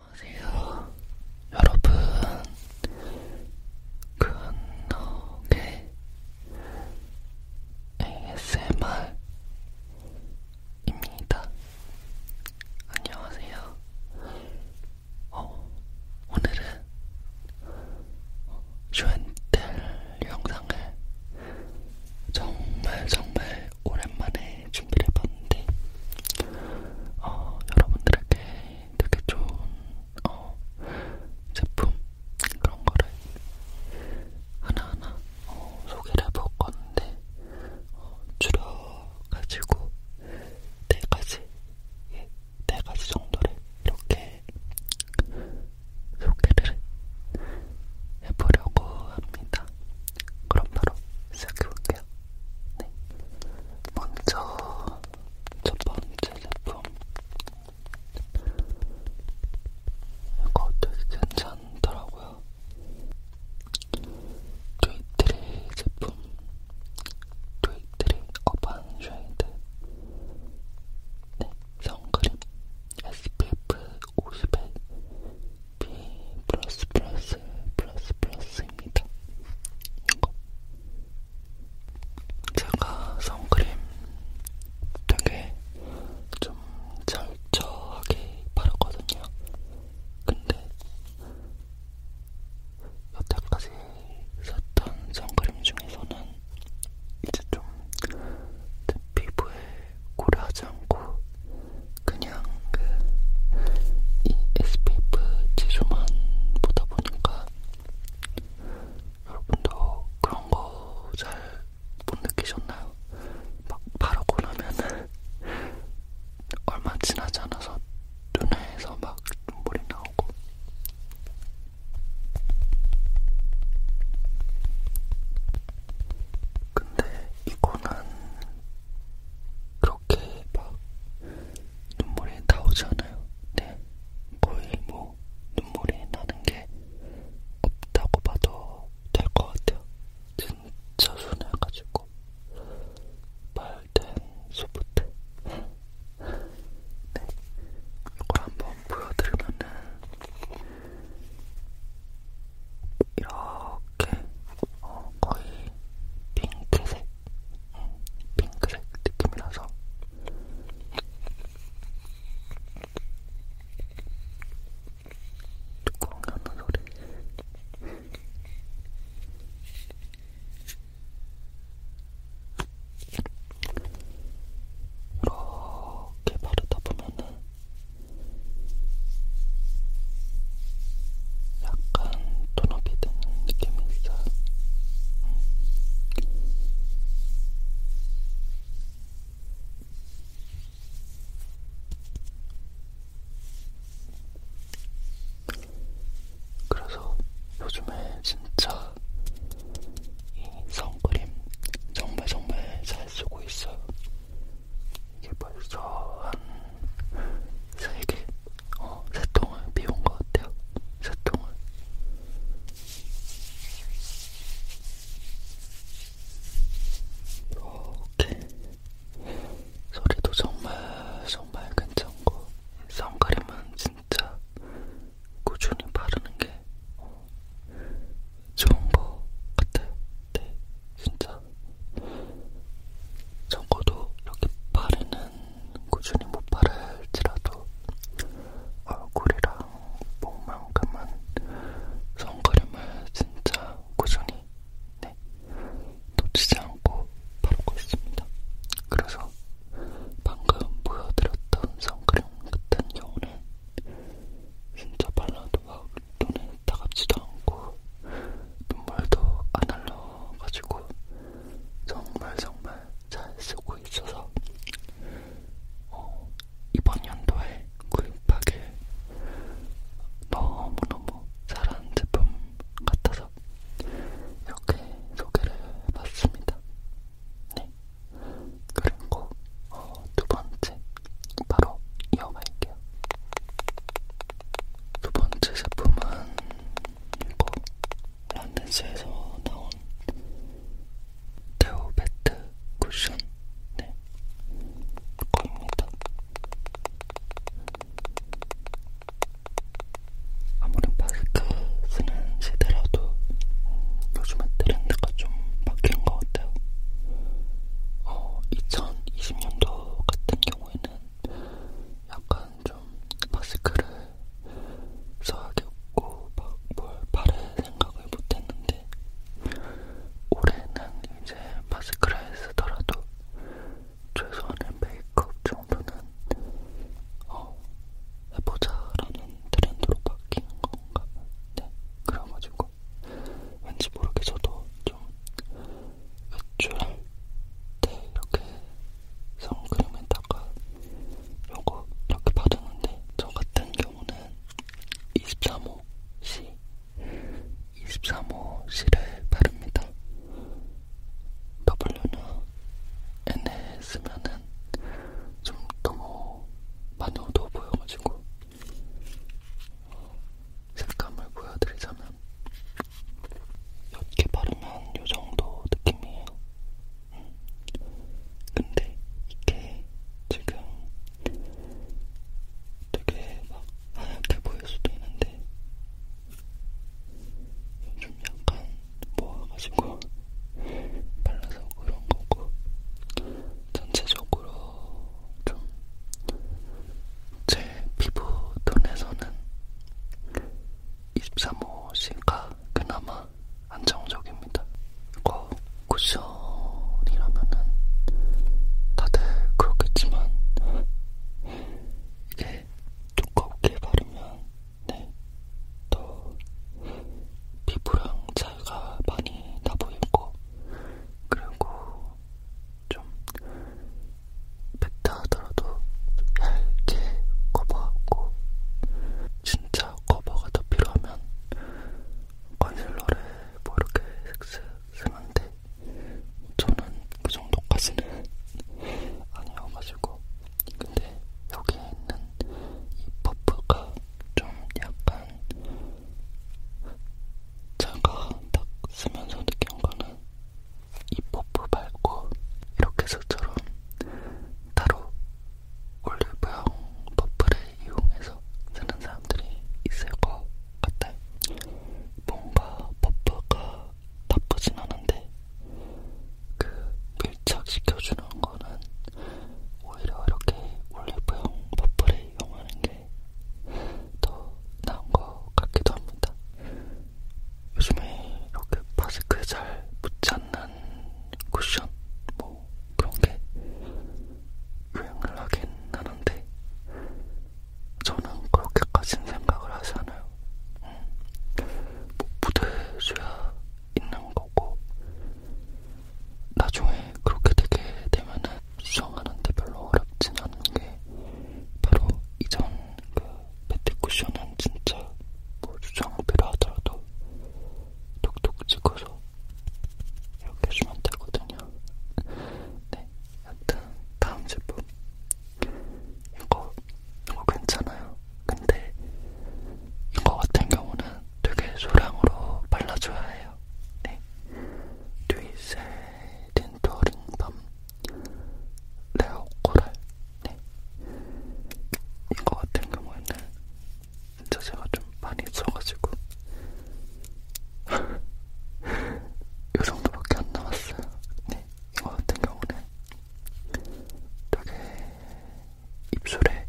안녕하세요, 여러분. 근덕의 ASMR입니다. 안녕하세요. 어, 오늘은 슈엔텔 영상을 정말 정말 오랜만에 준비를 해봤는데 어, 여러분들에게 되게 좋은 어, 제품 그런 거를 하나하나 어, 소개를 해볼 건데 어, 줄여가지고 네 가지, 예, 네 가지 정도를 이렇게 소개를 해보려고 합니다. 그럼 바로 시작해볼게요. 네. 먼저 첫 번째 제품. 이거 되게 괜찮더라고요. 조이트리 제품 조이트리 어반 쉐이드 네, 선크림 SPF 50에 B+++++입니다. 플러스 플러스 플러스 플러스입니다. 이거 제가 선크림 되게 좀 절저하게 바르거든요. 근데 여태까지 썼던 선크림 중에서는 이제 좀제 피부에 고려하지 않고 그냥 그이 SPF 지수만 보다 보니까 여러분도 그런 거 잘 못 느끼셨나요? 막 바르고 나면은 얼마 지나지 않아서 눈에서 막 눈물이 나오고 근데 이거는 그렇게 막 눈물이 나오지 않아요. 네, 거의 뭐 눈물이 나는 게 없다고 봐도 될 것 같아요. 진짜 순해가지고 말잘 소프트. 네, 이걸 한번 보여드리면은 이렇게 어, 거의 핑크색, 음, 핑크색 느낌이라서. 뚜껑이 하는 소리 이렇게 바르다 보면은 약간 톤업이 되는 느낌이 있어요. 그래서 요즘에 진짜 이 선크림 정말 정말 잘 쓰고 있어요. 이게 벌써 한 세 개, 어, 세 통을 비운 것 같아요. 세 통을. 이렇게 소리도 정말 정말 괜찮고 선크림은 진짜 꾸준히 바르는 게 좋은 거 같아요. 네, 진짜 적어도 이렇게 바르는 꾸준히 못 바를지라도 얼굴이랑 목만큼은 선크림을 진짜 꾸준히 네, 놓치지 않고 바르고 있습니다. 그래서 방금 보여드렸던 선크림 같은 경우는 진짜 발라도 막 눈에 따갑지도 않고 눈물도 안 흘러가지고 정말 정말 잘 쓰고 있어서 어, 이번 연도에 구입하길 너무너무 잘한 제품 같아서 이렇게 소개를 해봤습니다. 네. 그리고 어, 두 번째 바로 이어갈게요. 두 번째 제품은 이거 란덴스에서 나온 데오 베트 쿠션 네, 이거입니다. 아무런 마스크 쓰는 시대라도 음, 요즘은 트렌드가 좀 바뀐 것 같아요. 어, 2020년도 같은 경우에는 약간 좀 마스크를 써야겠고 막뭘 바를 생각을 못했는데 올해는 이제 마스크를 쓰더라도 최소한의 메이크업 정도는 어, 해보자라는 트렌드로 바뀐 건가? 네, 그래가지고 왠지 모르게 저도 좀 외출할 때 이렇게 선크림에다가 요거 이렇게 바르는데 저 같은 경우는 23호 C 23호 C를 바릅니다. W나 N에 쓰면은 좀 너무 많이 어두워 보여가지고 어, 색감을 보여드리자면 옅게 바르면 요 정도 느낌이에요. 음. 근데 이게 지금 되게 막 하얗게 보일 수도 있는데 요즘 약간 모아가지고 발라서 그런 거고 전체적으로 좀 제 피부톤에서는 23호 씨가 그나마 안정적입니다. 이거 쿠션이라면은 다들 그렇겠지만 이게 두껍게 바르면 네, 더 피부랑 차이가 많이 나 보이고 그리고 좀 뱉다 하더라도 얇게 커버하고 진짜 커버가 더 필요하면 컨실러를 뭐 이렇게 슥슥 쓰면 돼 저는 그 정도까지는 아니어가지고 근데 여기에 있는 이 퍼프가 좀 약간 제가 딱 쓰면서 느낀 거는 이 퍼프 말고 이렇게 저처럼 따로 올리브영 퍼프를 이용해서 쓰는 사람들이 있을 것 같아요. 뭔가 퍼프가 나쁘진 않은데 그 밀착시켜주는 거는 오히려 이렇게 올리브영 버프를 이용하는 게 더 나은 것 같기도 합니다. 요즘에 이렇게 마스크에 잘 붙지 않는 쿠션 뭐 그런 게 유행을 하긴 하는데 저는 그렇게까진 생각을 하지 않아요. 음. 뭐 무대에 줘야 있는 거고 나중에 그렇게 되게 되면은 수정하는데 별로 어렵진 않은 게 바로 이전 그 매트쿠션은 진짜 뭐 수정 필요하더라도 톡톡 찍어서 이렇게 주면 되거든요. 네, 하여튼 다음 제품 이거 이거 괜찮아요. 근데 이거 같은 경우는 되게 소량으로 발라줘야 해요. 네, 듀이셀 딘토링밤 레오 코랄. 네, 이거 같은 경우에는 진짜 제가 좀 많이 써가지고. 이 정도밖에 안 남았어요. 네. 이거 같은 경우는 되게 입술에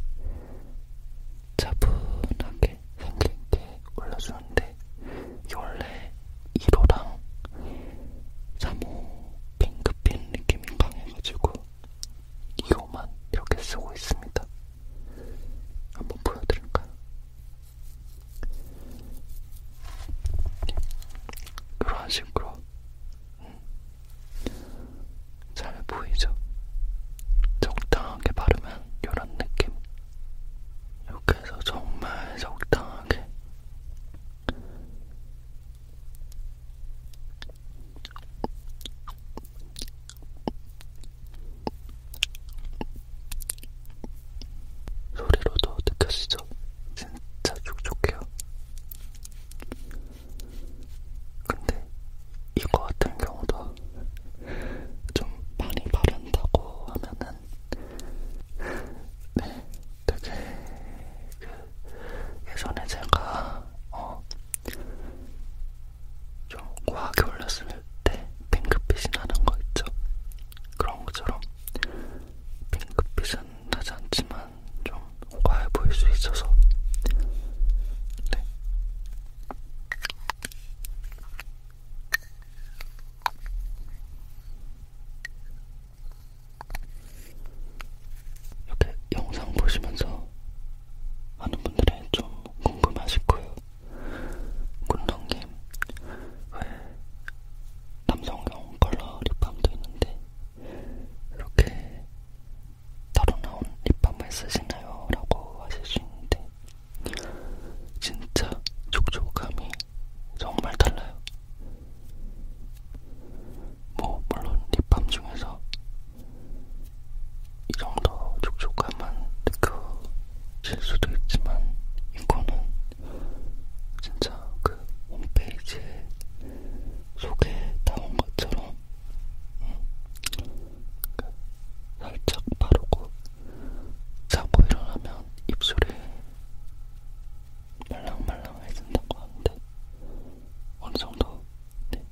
차분하게 생긴 게 올려주는데 원래 1호랑 3호 핑크빛 느낌이 강해가지고 2호만 이렇게 쓰고 있습니다. 한번 보여드릴까요? 그런 식으로 음. 잘 보이죠? 적당하게 바르면 이런 느낌 이렇게 해서 정말 적당하게 소리로도 느껴지죠? 진짜 촉촉해요. 근데 이거 같은 경우도 좀 많이 바른다고 하면은 네, 되게 그 예전에 제가 어 좀 과하게 올렸을 때 핑크빛이 나는 거 있죠? 그런 것처럼 핑크빛은 나지 않지만 좀 과해 보일 수 있어서 네. 이렇게 영상 보시면서 많은 분들이 좀 궁금하실 거예요. 군동님, 왜 남성용 컬러 립밤도 있는데 이렇게 따로 나온 립밤을 쓰시나요? 라고 하실 수 있는데 진짜 촉촉함이 정말 달라요. 뭐 물론 립밤 중에서 이 정도 촉촉함만 느껴질 수도 있지만 이거는 진짜 그 홈페이지에 소개 나온 것처럼 음, 그 살짝 바르고 자고 일어나면 입술이 말랑말랑해진다고 하는데 어느 정도 네,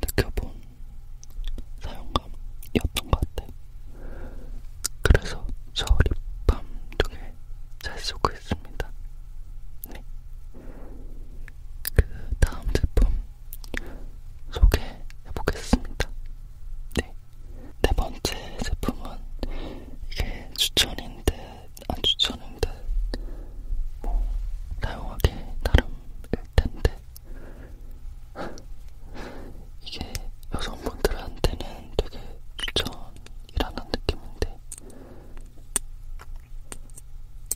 느껴본 사용감이었던 것 같아요. 그래서 저 립밤 두개잘 쓰고 있습니다. 네. 그 다음 제품 소개해보겠습니다. 네. 네 번째 제품은 이게 추천인 듯안 추천인 듯뭐 사용하기 나름일 텐데 이게 여성분들한테는 되게 추천이라는 느낌인데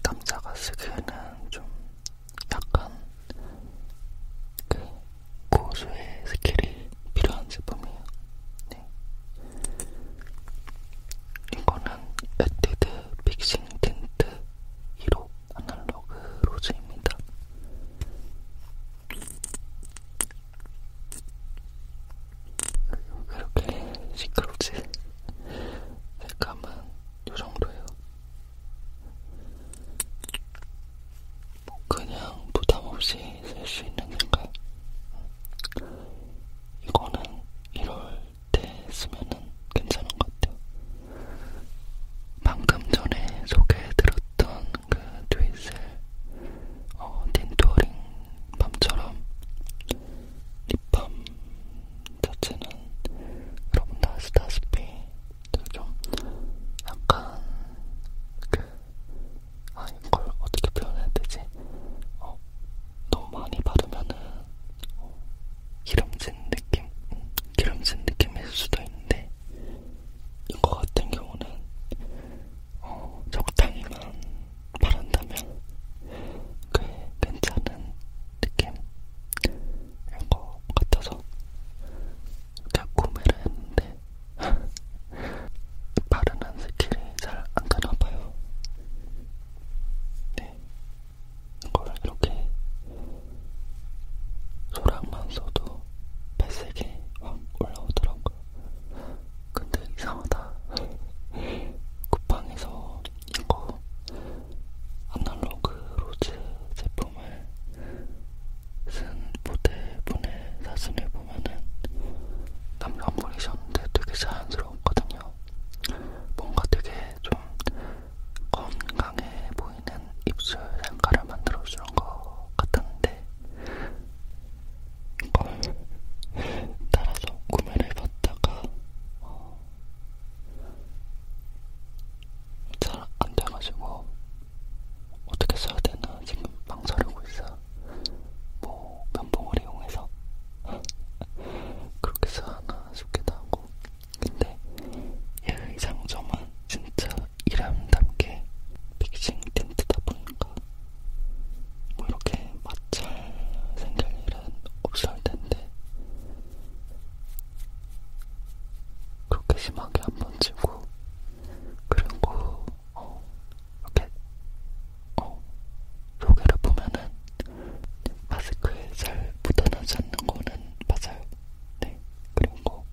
남자가 쓰기에는 좀 약간 그 고수의 스킬이 필요한 제품이에요. 네. 이거는 에뛰드 픽싱 틴트 1호 아날로그 로즈입니다. 왜 이렇게 시끄럽지? 색감은 요정도예요. 뭐 그냥 부담 없이 쓸 수 있는 색깔. 이거는 이럴 때 쓰면은 괜찮은 것 같아요. 방금 전에 소개해드렸던 그 트위셀 어, 딘토링 밤처럼 립밤 자체는 여러분도 아시다시피 좀 약간 그 아, 이걸 어떻게 표현해야 되지? 어, 너무 많이 바르면은 어, 기름진 느낌? 음, 기름진 느낌일 수도 있는데 이거 같은 경우는 어, 적당히만 바른다면 꽤 괜찮은 느낌 이거 같아서 이렇게 구매를 했는데 바르는 스킬이 잘 안 되나봐요. 네, 이걸 이렇게 소량만 써도 더 발색이 확 올라오더라고요. 근데 이상하다. 쿠팡에서 이거 아날로그 로즈 제품을 쓴 모델분의 사진을 보면은 남성분이셨는데 되게 자연스러웠거든요. 뭔가 되게 좀 건강해 보이는 입술 색깔을 만들어주는 것 같았는데 걸 따라서 구매를 해봤다가 어, 잘안 돼가지고 어떻게 써야 되나 지금 망설이고 있어. 뭐 면봉을 이용해서 그렇게 써야 하나 싶기도 하고. 근데 얘의 장점은 진짜 이름답게 픽싱 틴트다 보니까 뭐 이렇게 맞잘 생길 일은 없을 텐데 그렇게 심하게 한번 치고 그리고 어, 이렇게 어, 여기를 보면은 마스크에 잘 묻어나지 않는 거는 맞아요. 네. 그리고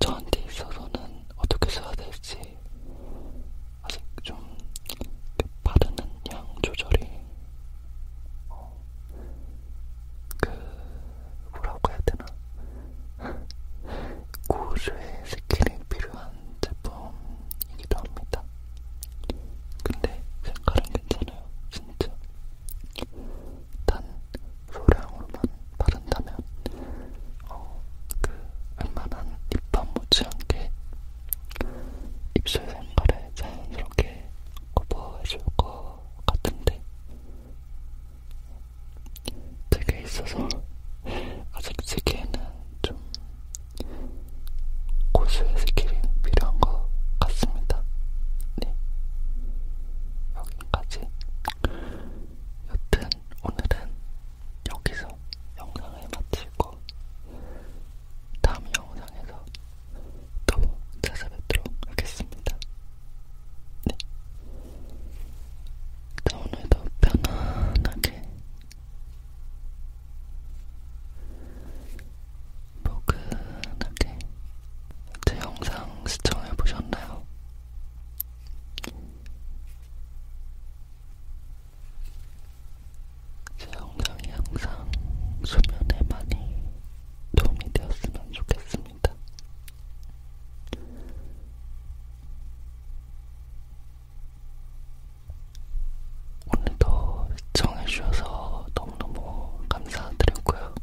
저한테 있어서는 어떻게 써야 될지 아직 좀 그 바르는 양 조절이 어, 그 뭐라고 해야 되나 고수의 스킬이 필요한 제품이기도 합니다. 근데 색깔은 괜찮아요, 진짜. 단 소량으로만 바른다면 어, 그 웬만한 립밤 못지않게 입술 색깔을 자연스럽게 커버해줄 것 같은데 되게 있어서 아직 쓰기에는 좀 고수의 스킬이 필요한 것 같습니다. 네. 여기까지. 여튼 오늘은 여기서 영상을 마치고 다음 영상에서 또 찾아뵙도록 하겠습니다. 네. 자, 오늘도 편안하게 포근하게 제 영상 시청해보셨나요? 제 영상이 항상 수면에 많이 도움이 되었으면 좋겠습니다. 오늘도 시청해주셔서 너무너무 감사드리고요.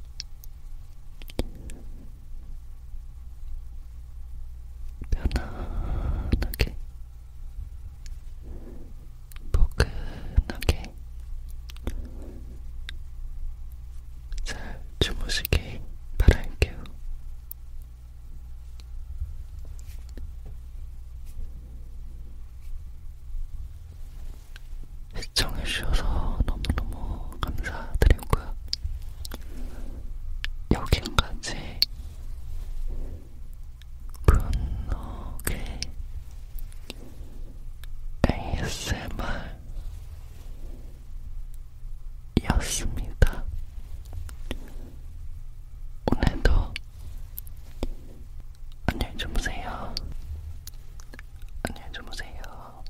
편안하게 포근하게 잘 주무시길 바랄게요. 시청해주셔서 너무너무 감사드리고요. 여기까지 분노의 ASMR이었습니다. 오늘도 안녕히 주무세요. 안녕히 주무세요.